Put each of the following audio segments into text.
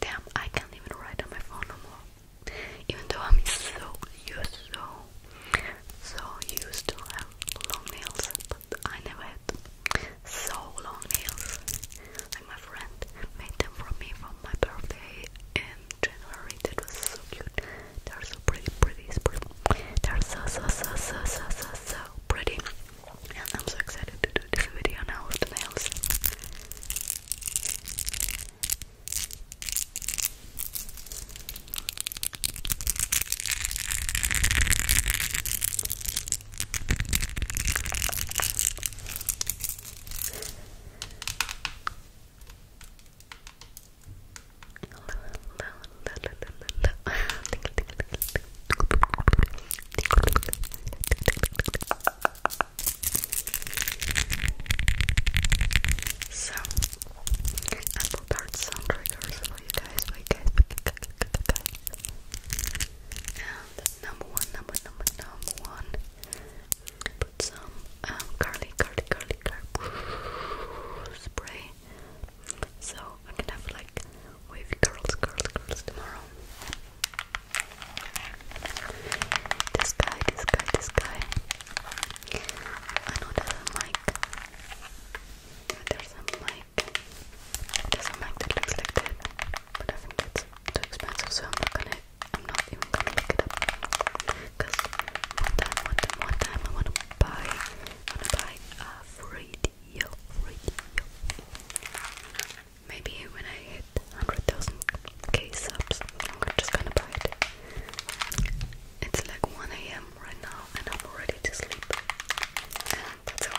Damn, I can't even write on my phone no more. Even though I'm so used, so so used to have long nails, but I never had so long nails. Like my friend made them for me for my birthday in January. That was so cute. They're so pretty, pretty, pretty. They're so so so so so so pretty. I'm so excited to do this video now with the nails. So, apple tart sound triggers for you guys, for guys, for you guys, guys. And number one, number, number, number one, put some um, curly, curly, curly, curly spray. So, I'm gonna have like wavy curls, curls, curls tomorrow. This guy, this guy, this guy. Another mic. There's a mic. There's a mic that looks like that, but I think it's too expensive, so I'm not gonna. I'm not even gonna look it up. Cause one time, time, I wanna buy, wanna buy a radio, radio. Maybe when I hit 100,000k subs, I'm just gonna buy it. It's like 1 a.m. right now, and I'm already to sleep. And that's all.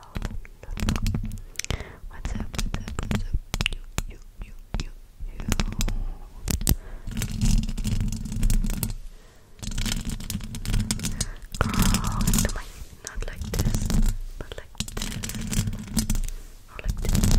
hello. What's up? What's up? What's up? You, Girl, do not like this, but like this, like oh, this.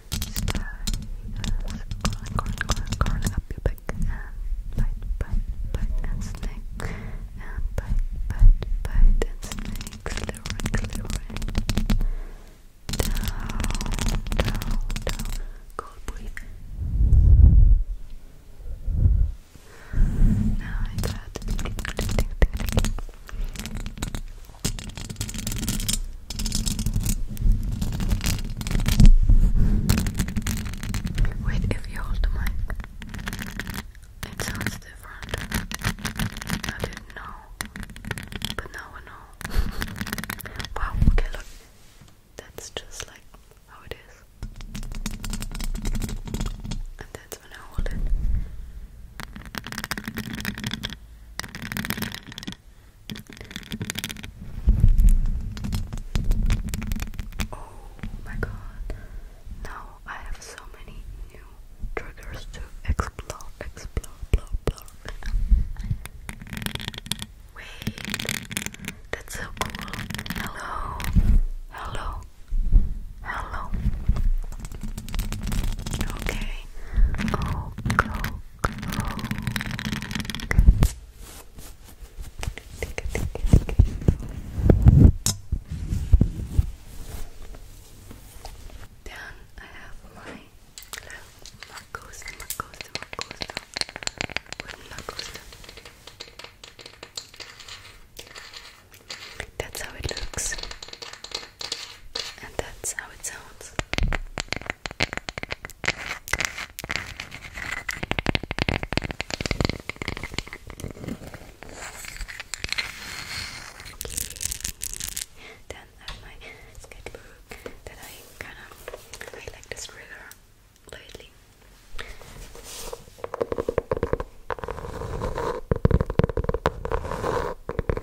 curling, curling, curling, curling up your back and bite, bite, bite and snake and bite, bite, bite and snake, clearing, clearing down, down, down cold breathe now I got Wait, if you hold the it sounds different. I didn't know, but now I know. wow, okay, look, that's just like how it is. And that's when I hold it. Oh my god. Now I have so many new triggers to explore, explore, explore, explore. Wait. That's so cool. Hello. Hello. Hello. Okay. Oh, go, then I have my Marcosta, Marcosta, Marcosta, Marcosta. That's how it looks. And that's how it sounds. Then I have my sketchbook that I kind of like this trigger lately.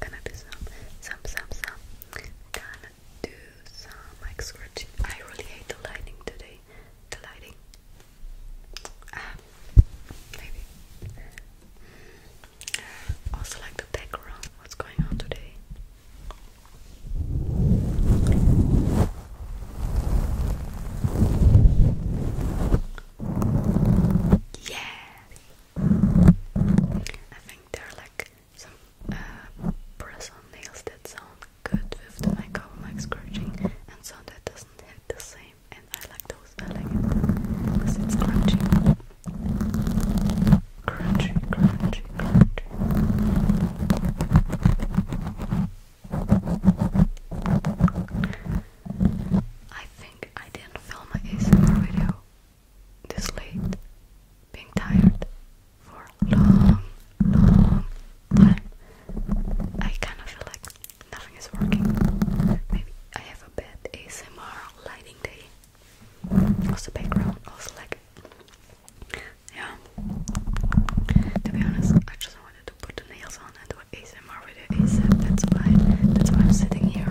gonna do some, some, some, some. Gonna do some mic scratching. I really hate the lighting today. The lighting. Um, maybe. Ah, also like the background. What's going on today? Yeah. I think there are like some uh, nails that sound good with the mic mic scratching and sound that doesn't hit the same. And I like those, I like it because it's crunchy. Crunchy, crunchy, crunchy. I I didn't film a ASMR video this late, being tired for long, long time. I kind of feel like nothing is working. Maybe I have a bad ASMR lighting day. Also, background, also like, yeah. To be honest, I just want to put the nails on and do an ASMR video ASAP. That's why. That's why I'm sitting here.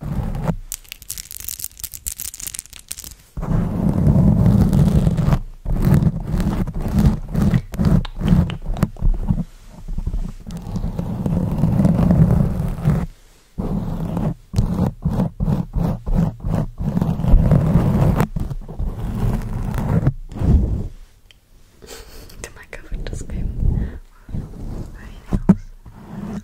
The microphone just came off my nails.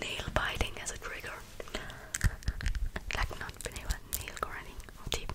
Nail biting as a trigger, like not been nail grinding or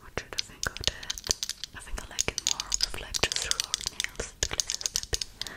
What should I think of that? I think I like it more with like just short nails, the glitter stepping.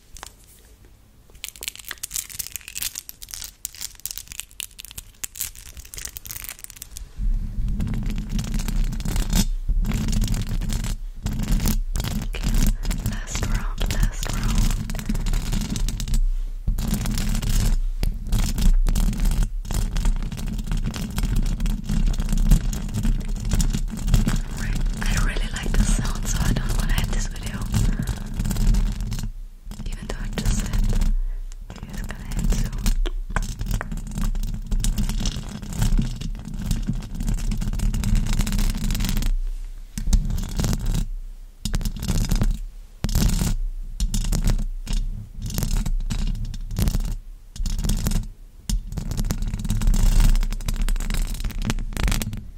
Okay, last round, last round. I really like this sound, so I don't want to have this video. Even though I just said video is gonna end soon.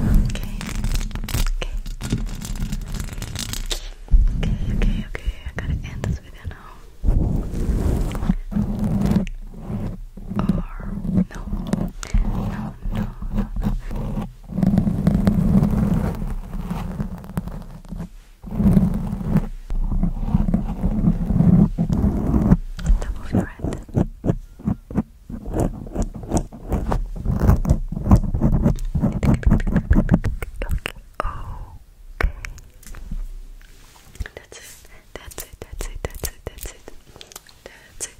Okay. Okay. Okay, okay, okay. I gotta end this video now. Or no. No, no, no, no. Top of your head. Okay. Okay. That's it. That's it. That's it. That's it. That's it. That's it.